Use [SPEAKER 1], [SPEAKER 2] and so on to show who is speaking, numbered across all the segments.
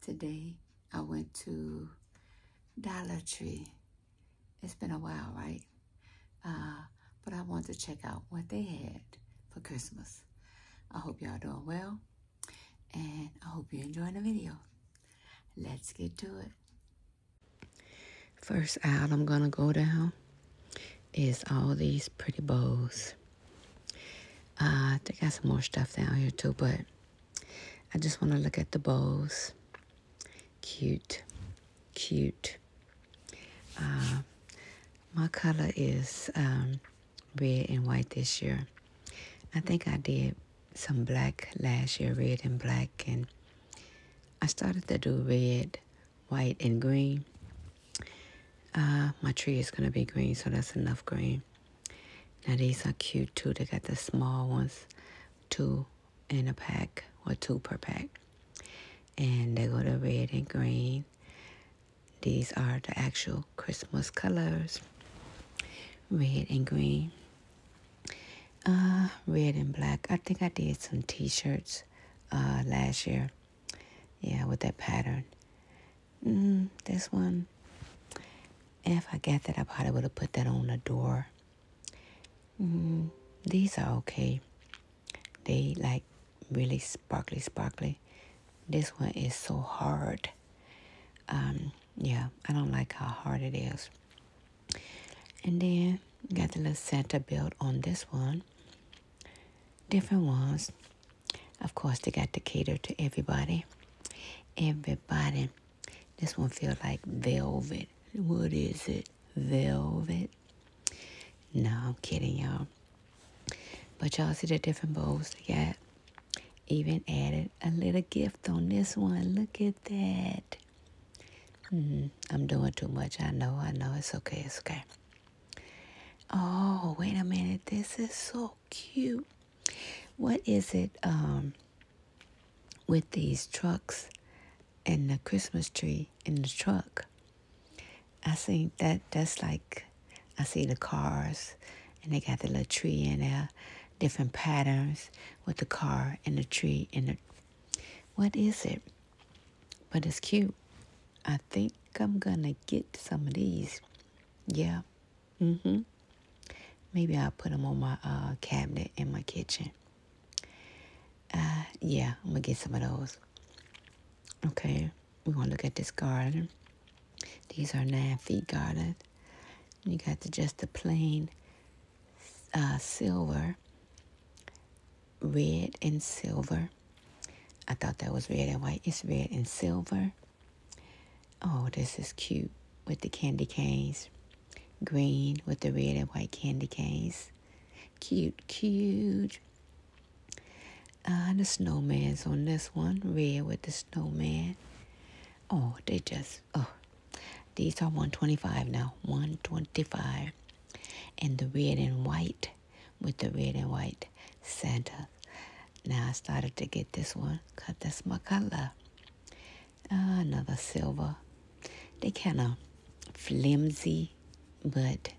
[SPEAKER 1] Today I went to Dollar Tree. It's been a while, right? Uh, but I want to check out what they had for Christmas. I hope y'all doing well, and I hope you're enjoying the video. Let's get to it. First out, I'm gonna go down is all these pretty bows. I think I got some more stuff down here too, but I just want to look at the bows. Cute, cute. Uh, my color is um, red and white this year. I think I did some black last year, red and black, and I started to do red, white, and green. Uh, my tree is going to be green, so that's enough green. Now these are cute too. They got the small ones, two in a pack or two per pack. And they go to red and green. These are the actual Christmas colors. Red and green. Uh, red and black. I think I did some t-shirts uh, last year. Yeah, with that pattern. Mm, this one, if I get that, I probably would have put that on the door. Mm, these are okay. They like really sparkly, sparkly. This one is so hard. Um, yeah, I don't like how hard it is. And then got the little Santa belt on this one. Different ones. Of course, they got to cater to everybody. Everybody. This one feels like velvet. What is it? Velvet. No, I'm kidding, y'all. But y'all see the different bowls they got. Even added a little gift on this one. Look at that. Mm, I'm doing too much. I know, I know. It's okay, it's okay. Oh, wait a minute. This is so cute. What is it um, with these trucks and the Christmas tree in the truck? I think that that's like I see the cars and they got the little tree in there, different patterns with the car and the tree and the what is it? But it's cute. I think I'm gonna get some of these. Yeah. Mm-hmm. Maybe I'll put them on my uh, cabinet in my kitchen. Uh, yeah, I'm going to get some of those. Okay, we're going to look at this garden. These are nine feet garden. You got the, just the plain uh, silver, red and silver. I thought that was red and white. It's red and silver. Oh, this is cute with the candy canes. Green with the red and white candy canes. Cute, cute. Uh, the snowman's on this one. Red with the snowman. Oh, they just, oh. These are 125 now. 125 And the red and white with the red and white Santa. Now I started to get this one cut that's my color. Ah, another silver. They kind of flimsy, but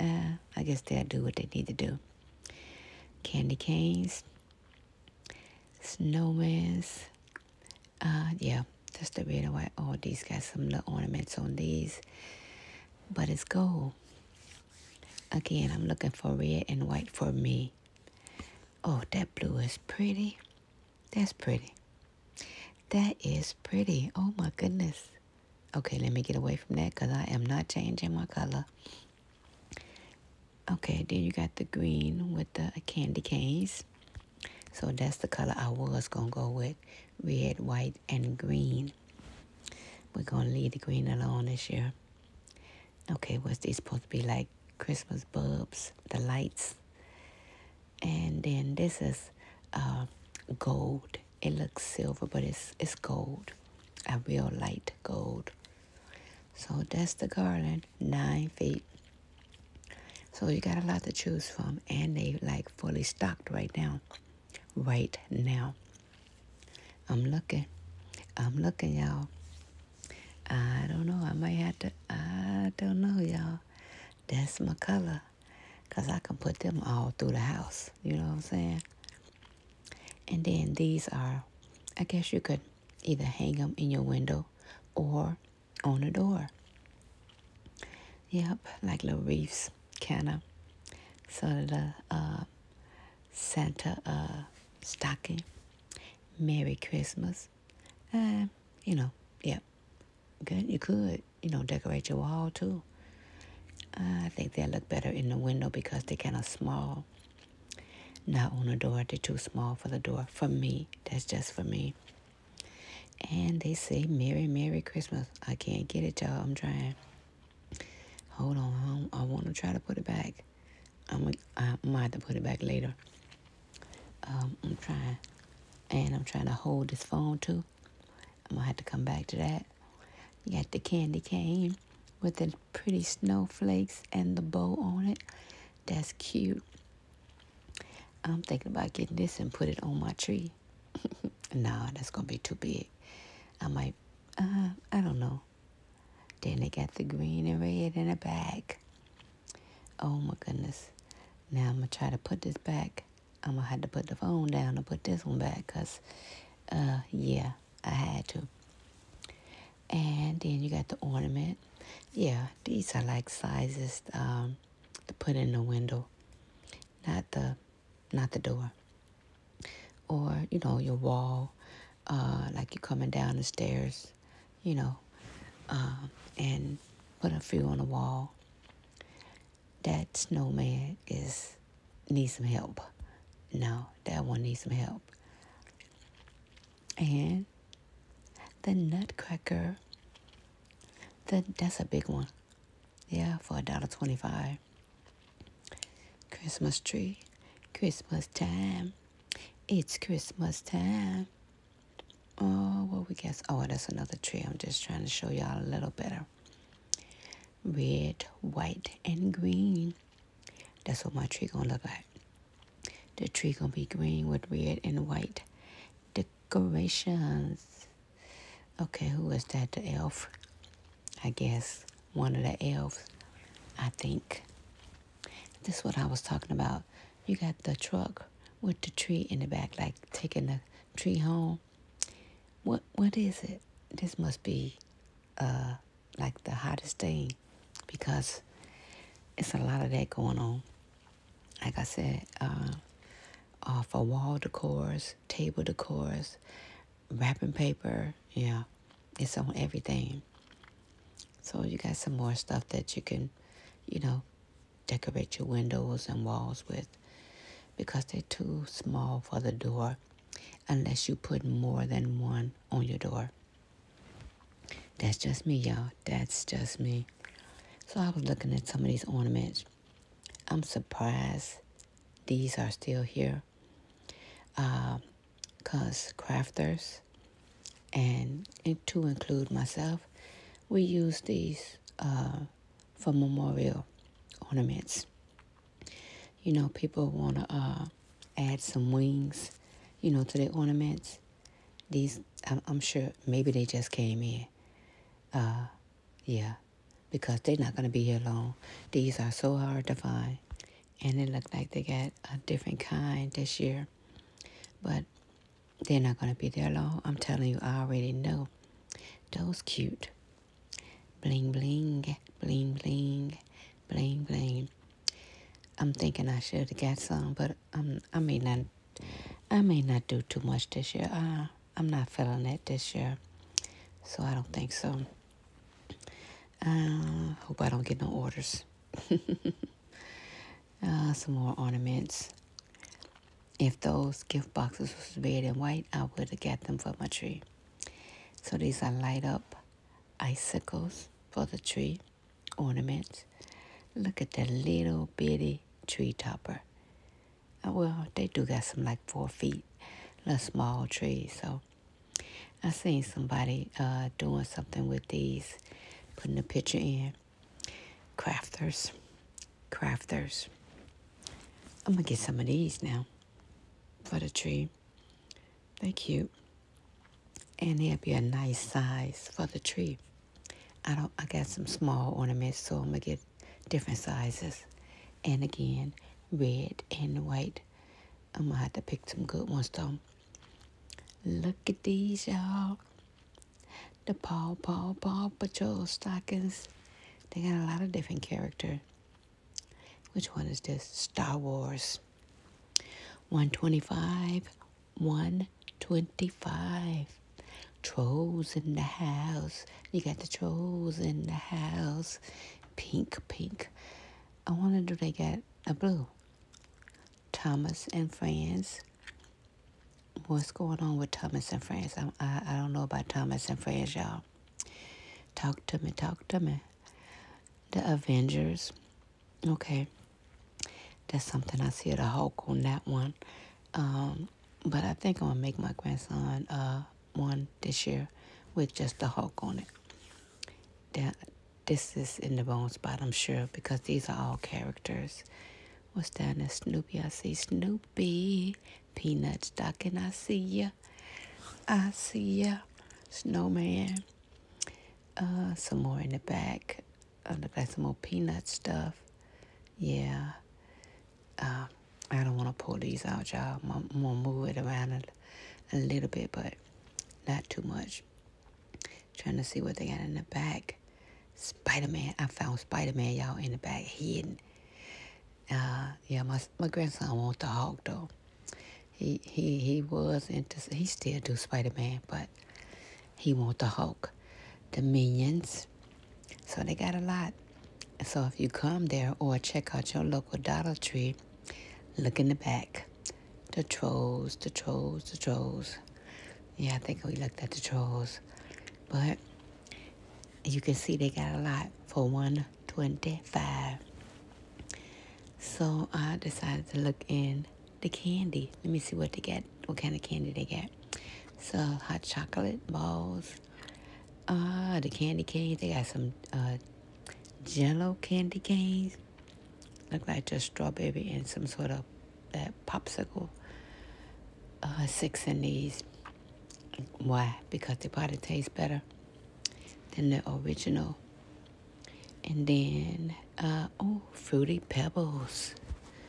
[SPEAKER 1] uh, I guess they'll do what they need to do. Candy canes, snowmans. Uh, yeah, just a bit of white. Oh, these got some little ornaments on these, but it's gold. Again, I'm looking for red and white for me. Oh, that blue is pretty. That's pretty. That is pretty. Oh my goodness. Okay, let me get away from that because I am not changing my color. Okay, then you got the green with the candy canes. So that's the color I was going to go with. Red, white, and green. We're going to leave the green alone this year. Okay, was they supposed to be like Christmas bulbs, the lights? And then this is uh, gold. It looks silver, but it's it's gold, a real light gold. So that's the garland, nine feet. So you got a lot to choose from, and they like fully stocked right now. Right now. I'm looking. I'm looking, y'all. I don't know. I might have to. I don't know, y'all. That's my color. Because I can put them all through the house. You know what I'm saying? And then these are, I guess you could either hang them in your window or on the door. Yep, like little reefs, kind of. So the uh, Santa uh, stocking. Merry Christmas. Uh, you know, yep, Good. You could, you know, decorate your wall too. I think they look better in the window because they kind of small. Not on the door. They're too small for the door. For me. That's just for me. And they say, Merry, Merry Christmas. I can't get it, y'all. I'm trying. Hold on, I, want to try to put it back. I'm gonna, I might have to put it back later. Um, I'm trying, and I'm trying to hold this phone too. I'm gonna have to come back to that. You got the candy cane with the pretty snowflakes and the bow on it. That's cute. I'm thinking about getting this and put it on my tree. nah, that's gonna be too big. I might, uh, I don't know. Then they got the green and red in a bag. Oh my goodness. Now I'm going to try to put this back. I'm going to have to put the phone down and put this one back because, uh, yeah, I had to. And then you got the ornament. Yeah, these are like sizes um, to put in the window, not the, not the door or you know your wall uh, like you're coming down the stairs you know um, and put a few on the wall that snowman is needs some help no that one needs some help and the nutcracker the, that's a big one yeah for a dollar twenty five Christmas tree, Christmas time. It's Christmas time. Oh, what we guess? Oh, that's another tree. I'm just trying to show y'all a little better. Red, white, and green. That's what my tree gonna look like. The tree gonna be green with red and white decorations. Okay, who is that? The elf. I guess, one of the elves, I think. This is what I was talking about. You got the truck with the tree in the back, like taking the tree home. What what is it? This must be uh like the hottest thing because it's a lot of that going on. Like I said, uh, for wall decors, table decors, wrapping paper. Yeah, it's on everything. So you got some more stuff that you can, you know, decorate your windows and walls with because they're too small for the door unless you put more than one on your door. That's just me, y'all. That's just me. So I was looking at some of these ornaments. I'm surprised these are still here here because uh, crafters and, and to include myself, we use these uh, for memorial ornaments. You know, people want to uh, add some wings, you know, to the ornaments. These, I'm, I'm sure, maybe they just came in. Uh, yeah, because they're not going to be here long. These are so hard to find and it looked like they got a different kind this year. But they're not going to be there long. I'm telling you, I already know. Those cute. Bling, bling, bling, bling, bling, bling. I'm thinking I should have got some, but um, I may not. I may not do too much this year. Uh, I'm not feeling it this year, so I don't think so. Uh, hope I don't get no orders. uh, some more ornaments. If those gift boxes was red and white, I would have got them for my tree. So these are light up icicles for the tree ornaments. Look at that little bitty tree topper. Oh, well, they do got some like four feet, little small trees. So I seen somebody uh, doing something with these, putting a picture in. Crafters. Crafters. I'm going to get some of these now for the tree. They're cute. And they'll be a nice size for the tree. I don't. I got some small ornaments, so I'm going to get different sizes. And again, red and white I'm gonna have to pick some good ones though. Look at these, y'all. The Paw Paw Paw Patrol stockings. They got a lot of different character. Which one is this? Star Wars. 125, 125. Trolls in the house. You got the trolls in the house pink, pink. I wonder do they get a blue? Thomas and Friends. What's going on with Thomas and Friends? I, I, I don't know about Thomas and Friends, y'all. Talk to me, talk to me. The Avengers. Okay. That's something I see the Hulk on that one. Um, but I think I'm gonna make my grandson uh one this year with just the Hulk on it. That this is in the bone spot, I'm sure, because these are all characters. What's down there? Snoopy, I see Snoopy. Peanut and I see ya. I see ya. Snowman. Uh, some more in the back. Uh, look some more peanut stuff. Yeah. Um, I don't want to pull these out, y'all. I'm, going to move it around a, a little bit, but not too much. Trying to see what they got in the back. Spider-Man. I found Spider-Man, y'all, in the back hidden. Uh, yeah, my, my grandson want the Hulk, though. He, he, he was into, he still do Spider-Man, but he want the Hulk. The Minions. So they got a lot. So if you come there or check out your local Dollar Tree, look in the back. The trolls, the trolls, the trolls. Yeah, I think we looked at the trolls. But you can see they got a lot for 125 So I decided to look in the candy. Let me see what they get. what kind of candy they get? So hot chocolate balls. Uh, the candy cane. They got some uh, jello candy canes. Look like a strawberry and some sort of that popsicle. Uh, six in these. Why? Because they probably taste better than the original. And then, uh, oh, Fruity Pebbles.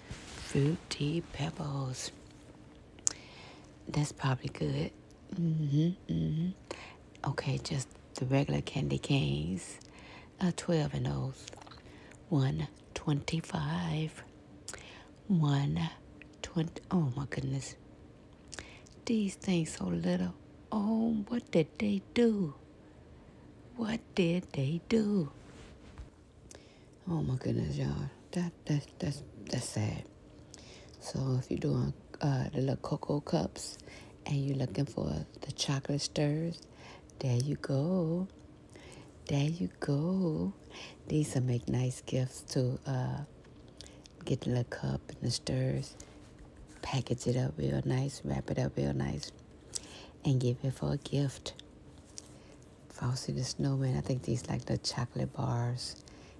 [SPEAKER 1] Fruity Pebbles. That's probably good. Mm hmm mm hmm Okay, just the regular candy canes. Uh, 12 and those. 125. 120. Oh my goodness. These things so little. Oh, what did they do? What did they do? Oh my goodness, y'all. That, that, that's, that's sad. So if you're doing uh, the little cocoa cups and you're looking for the chocolate stirs, there you go. There you go. These will make nice gifts to uh, get the little cup and the stirs, package it up real nice, wrap it up real nice, and give it for a gift. If I see the Snowman, I think these like the chocolate bars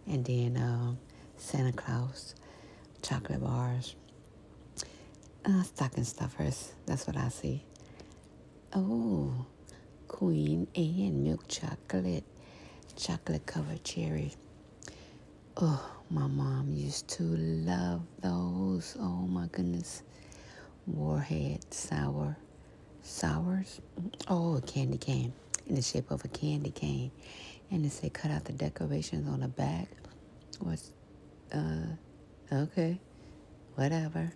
[SPEAKER 1] and then um, Santa Claus, chocolate bars, uh, stocking stuffers. That's what I see. Oh, Queen and milk chocolate, chocolate covered cherry. Oh, my mom used to love those. Oh my goodness. Warhead sour. Sours? Mm, oh, candy cane in the shape of a candy cane. And they say cut out the decorations on the back. Was, uh, okay, whatever,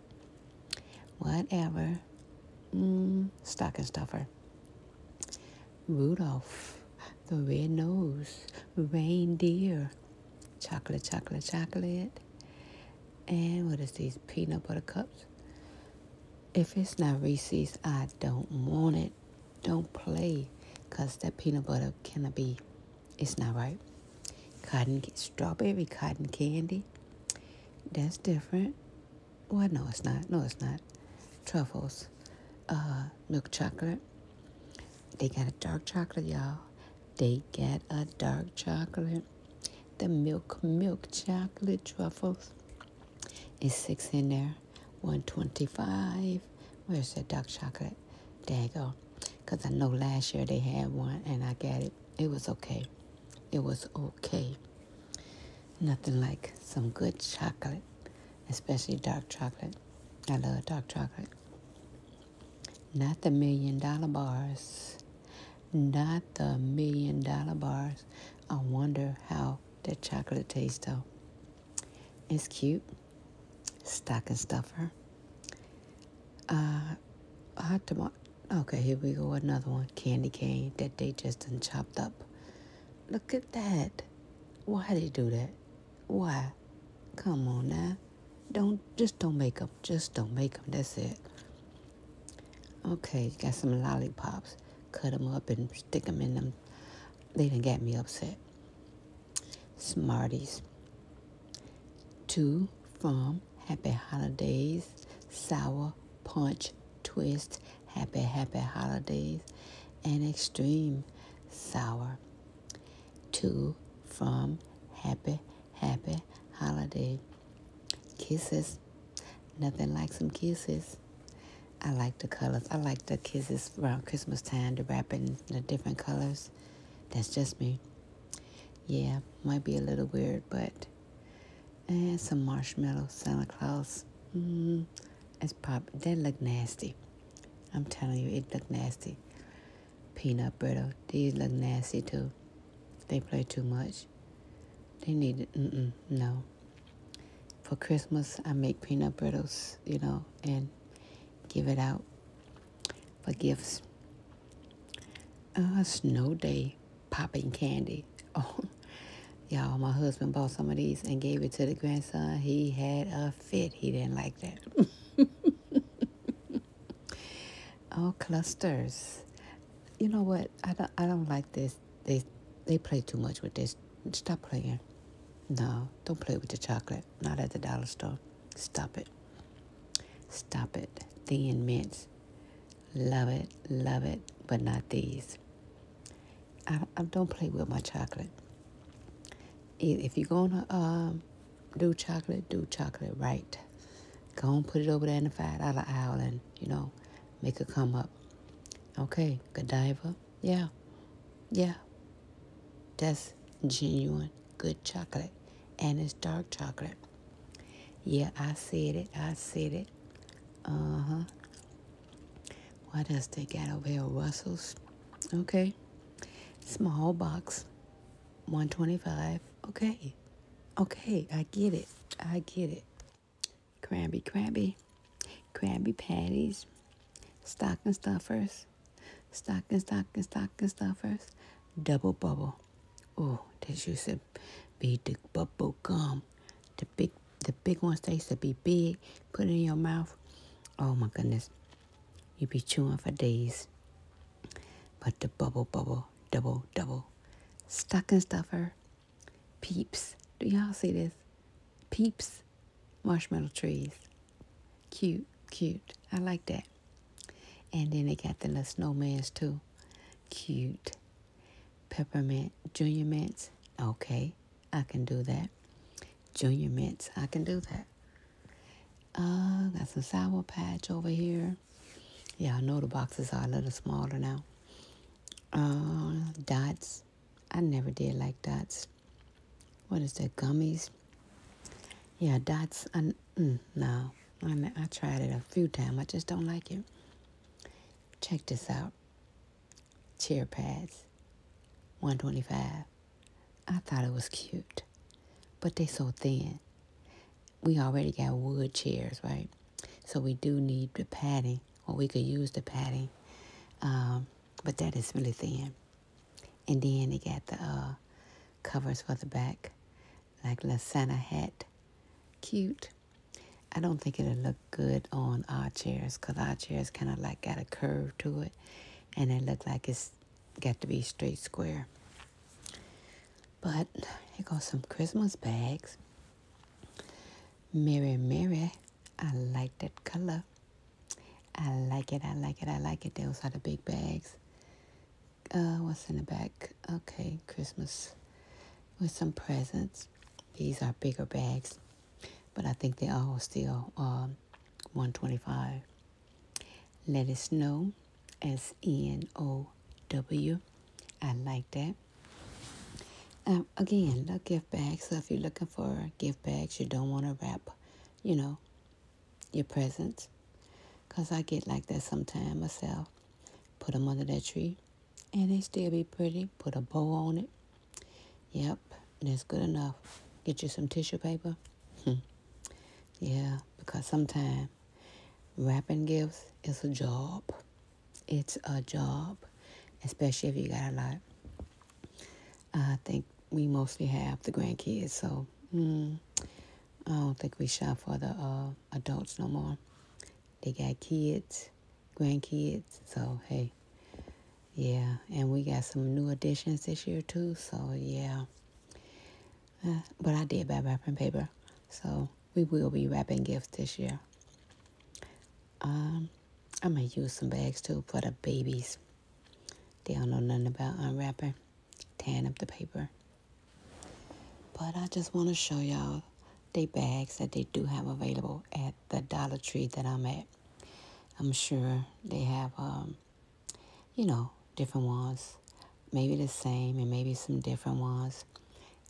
[SPEAKER 1] whatever. Mm, stocking stuffer. Rudolph, the red nose, reindeer, chocolate, chocolate, chocolate. And what is these peanut butter cups? If it's not Reese's, I don't want it. Don't play because that peanut butter cannot be, it's not right. Cotton, strawberry cotton candy, that's different. Well, no, it's not. No, it's not. Truffles, uh, milk chocolate. They got a dark chocolate, y'all. They got a dark chocolate. The milk, milk chocolate truffles is six in there. 125 Where's that dark chocolate? There you go. Because I know last year they had one and I got it. It was okay. It was okay. Nothing like some good chocolate, especially dark chocolate. I love dark chocolate. Not the million dollar bars. Not the million dollar bars. I wonder how that chocolate taste though. It's cute. Stocking stuffer. Uh, hot tomato. Okay, here we go. Another one. Candy cane that they just done chopped up. Look at that. Why they do that? Why? Come on now. Don't, just don't make them. Just don't make them. That's it. Okay, got some lollipops. Cut them up and stick them in them they didn't get me upset. Smarties. Two from Happy Holidays, Sour Punch Twist, Happy Happy Holidays, and Extreme Sour. Two from Happy Happy Holiday. Kisses Nothing like some kisses. I like the colors. I like the kisses around Christmas time, the wrapping, the different colors. That's just me. Yeah, might be a little weird, but and eh, some marshmallow Santa Claus. Mm, it's pop. That look nasty. I'm telling you, it look nasty. Peanut brittle. These look nasty too. They play too much. They need it. mm no for Christmas, I make peanut brittles, you know, and give it out for gifts. A snow day popping candy. Oh, y'all, my husband bought some of these and gave it to the grandson. He had a fit. He didn't like that. oh, clusters. You know what? I don't, I don't like this they they play too much with this. Stop playing. No, don't play with the chocolate. Not at the dollar store. Stop it. Stop it. Thin mints. Love it, love it, but not these. I, I don't play with my chocolate. If you're gonna um, do chocolate, do chocolate right. Go and put it over there in the five dollar aisle, and you know, make it come up. Okay, Godiva. Yeah, yeah. That's genuine good chocolate. And it's dark chocolate. Yeah, I said it. I said it. Uh huh. What else they got over here? Russell's. Okay. Small box. 125. Okay. Okay. I get it. I get it. Crabby, crabby, crabby Patties, Stocking Stuffers, Stocking, Stocking, Stocking Stuffers, Double Bubble. Oh, they used to be the bubble gum. The big, the big ones, they used to be big. Put in your mouth. Oh my goodness. You be chewing for days. But the bubble, bubble, double, double. Stocking Stuffer. Peeps. Do y'all see this? Peeps marshmallow trees. Cute, cute. I like that. And then they got the little snowmans too. Cute. Peppermint. Junior mints. Okay. I can do that. Junior mints. I can do that. Uh, got some sour patch over here. Yeah, I know the boxes are a little smaller now. Uh, dots I never did like dots. What is that, gummies? Yeah, dots. I, mm, no, I, I tried it a few times. I just don't like it. Check this out. Chair pads, 125. I thought it was cute, but they so thin. We already got wood chairs, right? So we do need the padding, or we could use the padding, um, but that is really thin. And then they got the uh, covers for the back, like the Santa hat. Cute. I don't think it'll look good on our chairs because our chairs kind of like got a curve to it and it looked like it's got to be straight square. But here got some Christmas bags. Mirror, mirror, I like that color. I like it, I like it, I like it. Those are the big bags. Uh, what's in the back? Okay, Christmas with some presents. These are bigger bags, but I think they are still um, 125 Let it snow, S N O W. I like that. Um, again, look gift bags. So if you're looking for gift bags, you don't want to wrap, you know, your presents. Because I get like that sometimes myself. Put them under that tree. And they still be pretty. Put a bow on it. Yep, that's good enough. Get you some tissue paper. Hmm. yeah, because sometimes wrapping gifts is a job it's a job, especially if you got a lot. I think we mostly have the grandkids, so mm, I don't think we shop for the uh, adults no more. They got kids, grandkids, so hey, yeah. And we got some new additions this year too, so yeah. Uh, but I did buy wrapping paper, so we will be wrapping gifts this year. Um, I gonna use some bags too for the babies. They don't know nothing about unwrapping, tearing up the paper. But I just want to show y'all the bags that they do have available at the Dollar Tree that I'm at. I'm sure they have, um, you know, different ones. Maybe the same and maybe some different ones.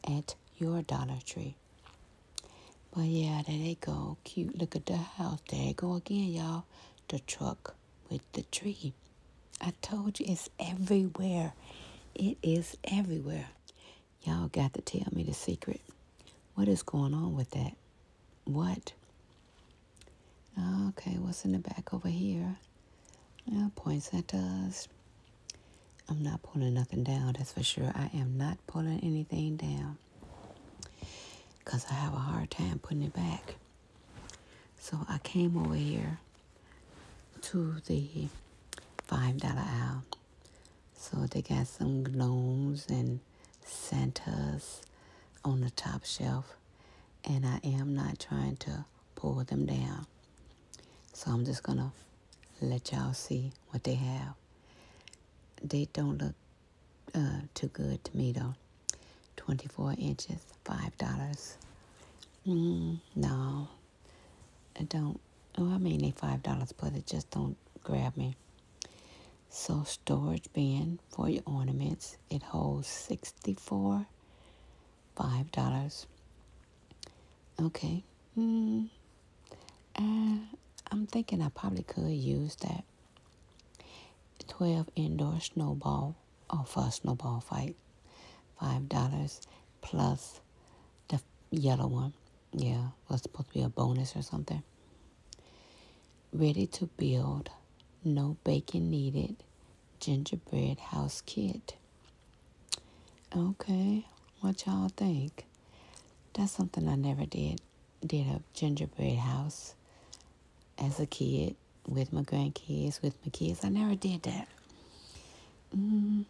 [SPEAKER 1] At your Dollar Tree. But yeah, there they go. Cute. Look at the house. There they go again, y'all. The truck with the tree. I told you it's everywhere. It is everywhere. Y'all got to tell me the secret. What is going on with that? What? Okay, what's in the back over here? points. Uh, poinsettias, I'm not pulling nothing down, that's for sure. I am not pulling anything down because I have a hard time putting it back. So I came over here to the $5 aisle. So they got some gnomes and Santas on the top shelf. And I am not trying to pull them down. So I'm just gonna let y'all see what they have. They don't look uh, too good to me though. 24 inches, $5. Mm, no, I don't. Oh, I mean, they $5, but it just don't grab me. So storage bin for your ornaments. It holds 64, $5. Okay. Mm, uh, I'm thinking I probably could use that 12 indoor snowball or oh, for a snowball fight. $5 plus the yellow one. Yeah, was supposed to be a bonus or something. Ready to build, no baking needed, gingerbread house kit. Okay, what y'all think? That's something I never did. Did a gingerbread house as a kid with my grandkids, with my kids. I never did that. Mm,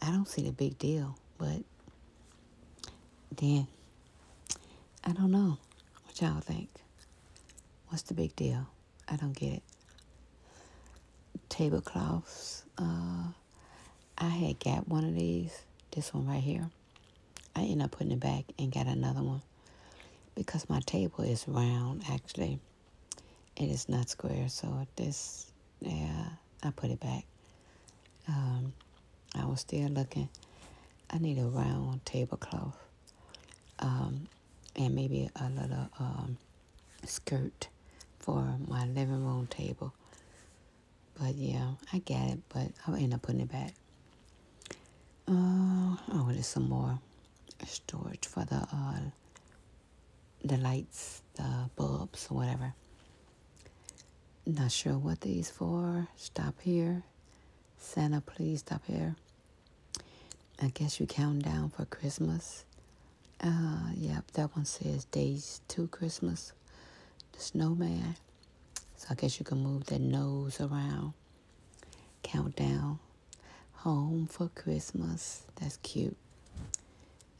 [SPEAKER 1] I don't see the big deal, but then I don't know what y'all think. What's the big deal? I don't get it. Tablecloths, uh, I had got one of these, this one right here. I end up putting it back and got another one because my table is round actually. It is not square, so this, yeah, I put it back. Um, I was still looking. I need a round tablecloth um, and maybe a little um, skirt for my living room table. But yeah, I got it, but I'll end up putting it back. Uh, I wanted some more storage for the uh, the lights, the bulbs, or whatever. Not sure what these for. Stop here. Santa, please stop here. I guess you count down for Christmas. Uh, yep, that one says Days to Christmas, the snowman. So I guess you can move that nose around. Countdown, Home for Christmas. That's cute.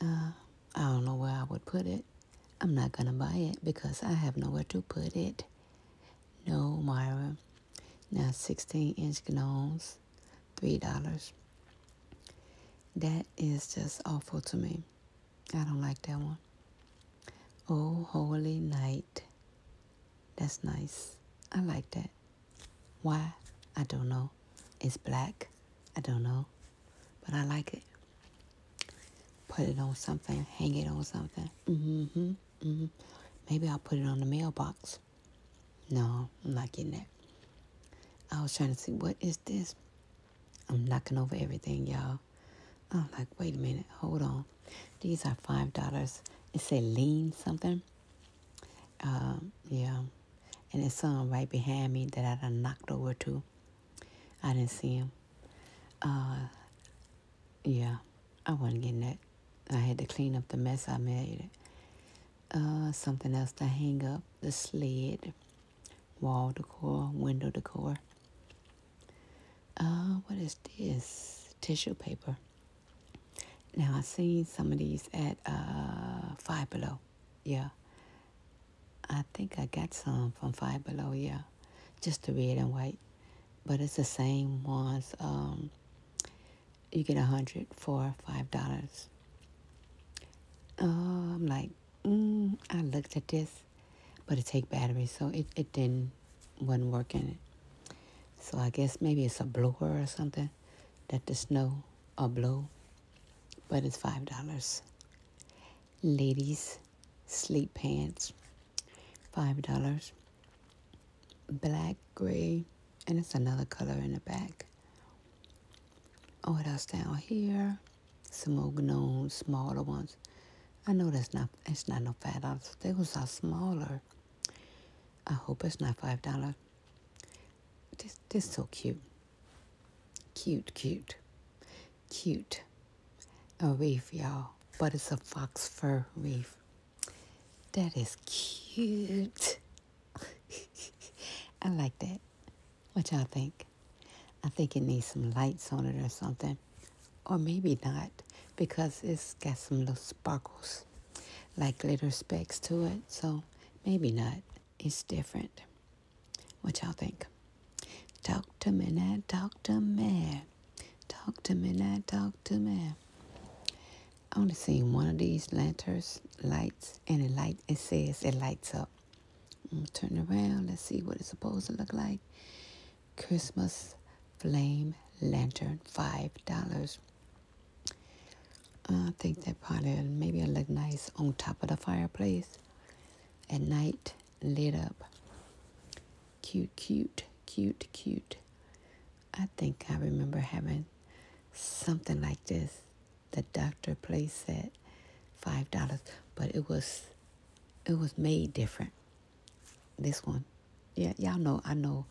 [SPEAKER 1] Uh, I don't know where I would put it. I'm not going to buy it because I have nowhere to put it. No, Myra. Now 16 inch gnomes, $3. That is just awful to me. I don't like that one. Oh, holy night. That's nice. I like that. Why? I don't know. It's black. I don't know. But I like it. Put it on something. Hang it on something. Mm-hmm. Mm-hmm. Maybe I'll put it on the mailbox. No, I'm not getting that. I was trying to see, what is this? I'm knocking over everything, y'all. I'm like, wait a minute, hold on. These are five dollars. It said lean something. Um, yeah. And it's some right behind me that I knocked over too. I didn't see him. Uh, yeah, I wasn't getting that. I had to clean up the mess I made. Uh, something else to hang up the sled wall decor, window decor. Uh, what is this? Tissue paper. Now I seen some of these at uh, Five Below. Yeah. I think I got some from Five Below, yeah. Just the red and white. But it's the same ones. Um, you get a hundred for five dollars. Uh, i like, mm, I looked at this, but it take batteries, so it, it didn't, wasn't working. So I guess maybe it's a blower or something that the snow or blow, but it's $5. Ladies, sleep pants, $5. Black, gray, and it's another color in the back. What else down here? Some more known smaller ones. I know that's not it's not no five dollars. Those are smaller. I hope it's not five dollar. This this so cute. Cute, cute, cute. A reef, y'all, but it's a fox fur weave. That is cute. I like that. What y'all think? I think it needs some lights on it or something. Or maybe not, because it's got some little sparkles, like glitter specks to it. So maybe not. It's different. What y'all think? Talk to me now, talk to me. Talk to me now, talk to me. I only seen one of these lanterns lights, and it light. It says it lights up. Turn around. Let's see what it's supposed to look like. Christmas flame lantern, five dollars. Uh, I think that probably maybe will look nice on top of the fireplace at night, lit up. Cute, cute, cute, cute. I think I remember having something like this the doctor place at five dollars, but it was it was made different. This one, yeah, y'all know. I know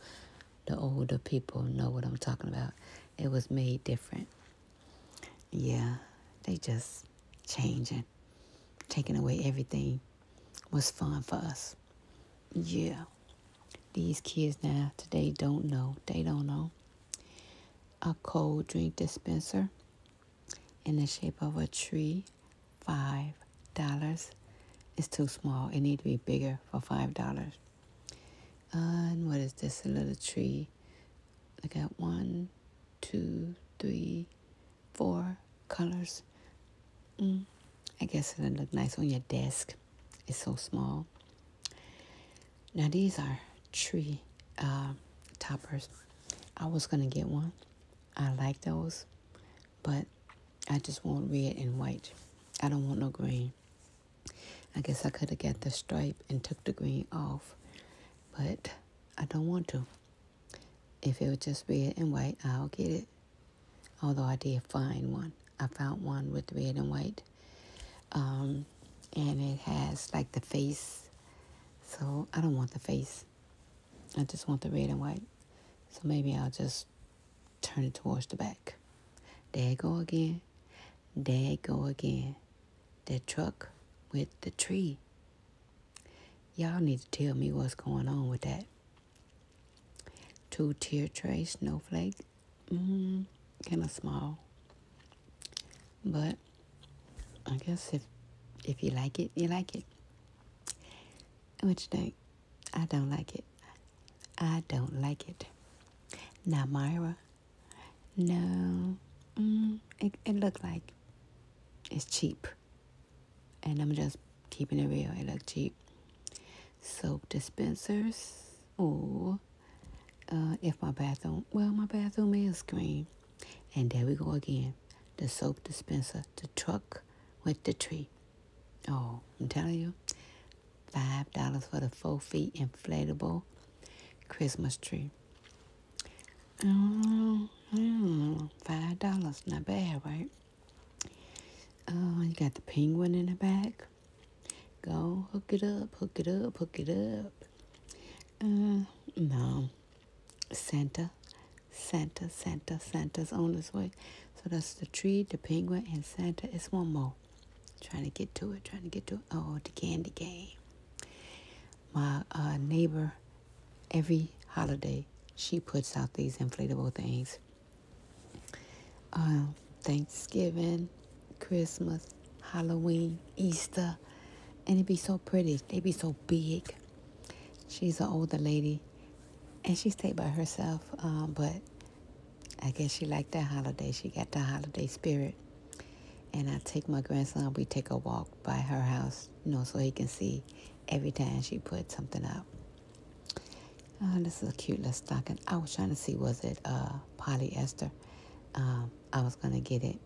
[SPEAKER 1] the older people know what I'm talking about. It was made different. Yeah, they just changing, taking away everything was fun for us. Yeah. These kids now today don't know. They don't know a cold drink dispenser in the shape of a tree, $5. It's too small. It needs to be bigger for $5. And what is this? A little tree. I got one, two, three, four colors. Mm, I guess it'll look nice on your desk. It's so small. Now these are tree uh, toppers. I was gonna get one. I like those, but I just want red and white. I don't want no green. I guess I could have got the stripe and took the green off, but I don't want to. If it was just red and white, I'll get it. Although I did find one. I found one with red and white um, and it has like the face. So I don't want the face. I just want the red and white. So maybe I'll just turn it towards the back. There go again. There go again. The truck with the tree. Y'all need to tell me what's going on with that. Two tear tray snowflake mm, mm-hmm. kind of small. But I guess if if you like it, you like it. What you think? I don't like it. I don't like it. Now Myra. No. Mm, it, it looked like it's cheap. And I'm just keeping it real. It looked cheap. Soap dispensers or uh, if my bathroom, well, my bathroom is green. And there we go again. The soap dispenser, the truck with the tree. Oh, I'm telling you, $5 for the four feet inflatable Christmas tree. Mm, mm, $5, not bad, right? Oh, you got the penguin in the back. Go hook it up, hook it up, hook it up. Uh, no. Santa, Santa, Santa, Santa's on his way. So that's the tree, the penguin, and Santa. It's one more. Trying to get to it, trying to get to it. Oh, the candy game. My uh, neighbor, every holiday, she puts out these inflatable things. Um, Thanksgiving, Christmas, Halloween, Easter, and it'd be so pretty. They'd be so big. She's an older lady, and she stayed by herself, um, but I guess she liked that holiday. She got the holiday spirit. And I take my grandson, we take a walk by her house, you know, so he can see every time she put something up. Oh, this is a cute little stocking. I was trying to see, was it uh, polyester? Um, I was going to get it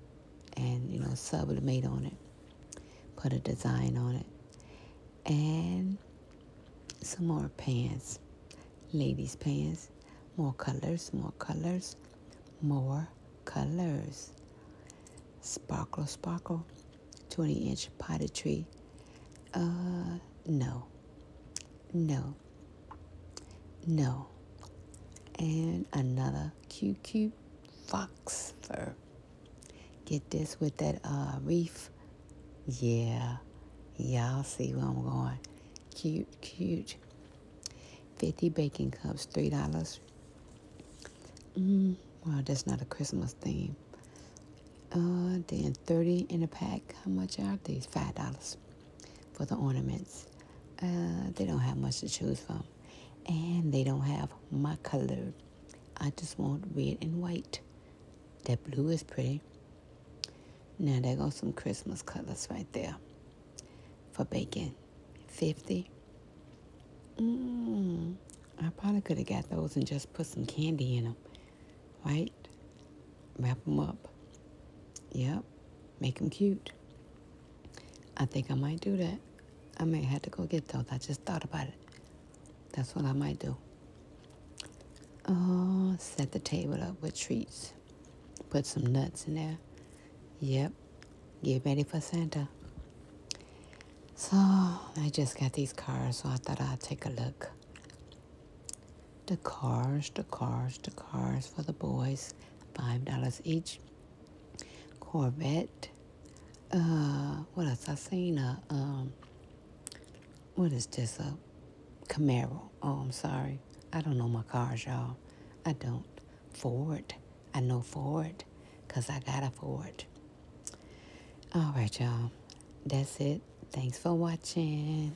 [SPEAKER 1] and, you know, sublimate on it, put a design on it, and some more pants, ladies' pants, more colors, more colors, more colors. Sparkle, sparkle, 20 inch potted tree. Uh, no, no. No. And another cute cute fox fur. Get this with that uh, reef. Yeah. Y'all see where I'm going. Cute, cute. 50 baking cups, $3. Mm, well, that's not a Christmas theme. Uh, then 30 in a pack. How much are these? $5 for the ornaments. Uh, they don't have much to choose from. And they don't have my color. I just want red and white. That blue is pretty. Now they got some Christmas colors right there for bacon. 50. Mmm. I probably could have got those and just put some candy in them. Right? wrap them up. Yep, make them cute. I think I might do that. I may have to go get those. I just thought about it. That's what I might do. Oh, set the table up with treats. Put some nuts in there. Yep, get ready for Santa. So I just got these cards, so I thought I'd take a look. The cars, the cars, the cars for the boys, $5 each. Corvette. Uh, what else? I seen a, um, what is this? A Camaro. Oh, I'm sorry. I don't know my cars, y'all. I don't. Ford. I know Ford because I got a Ford. All right, y'all. That's it. Thanks for watching.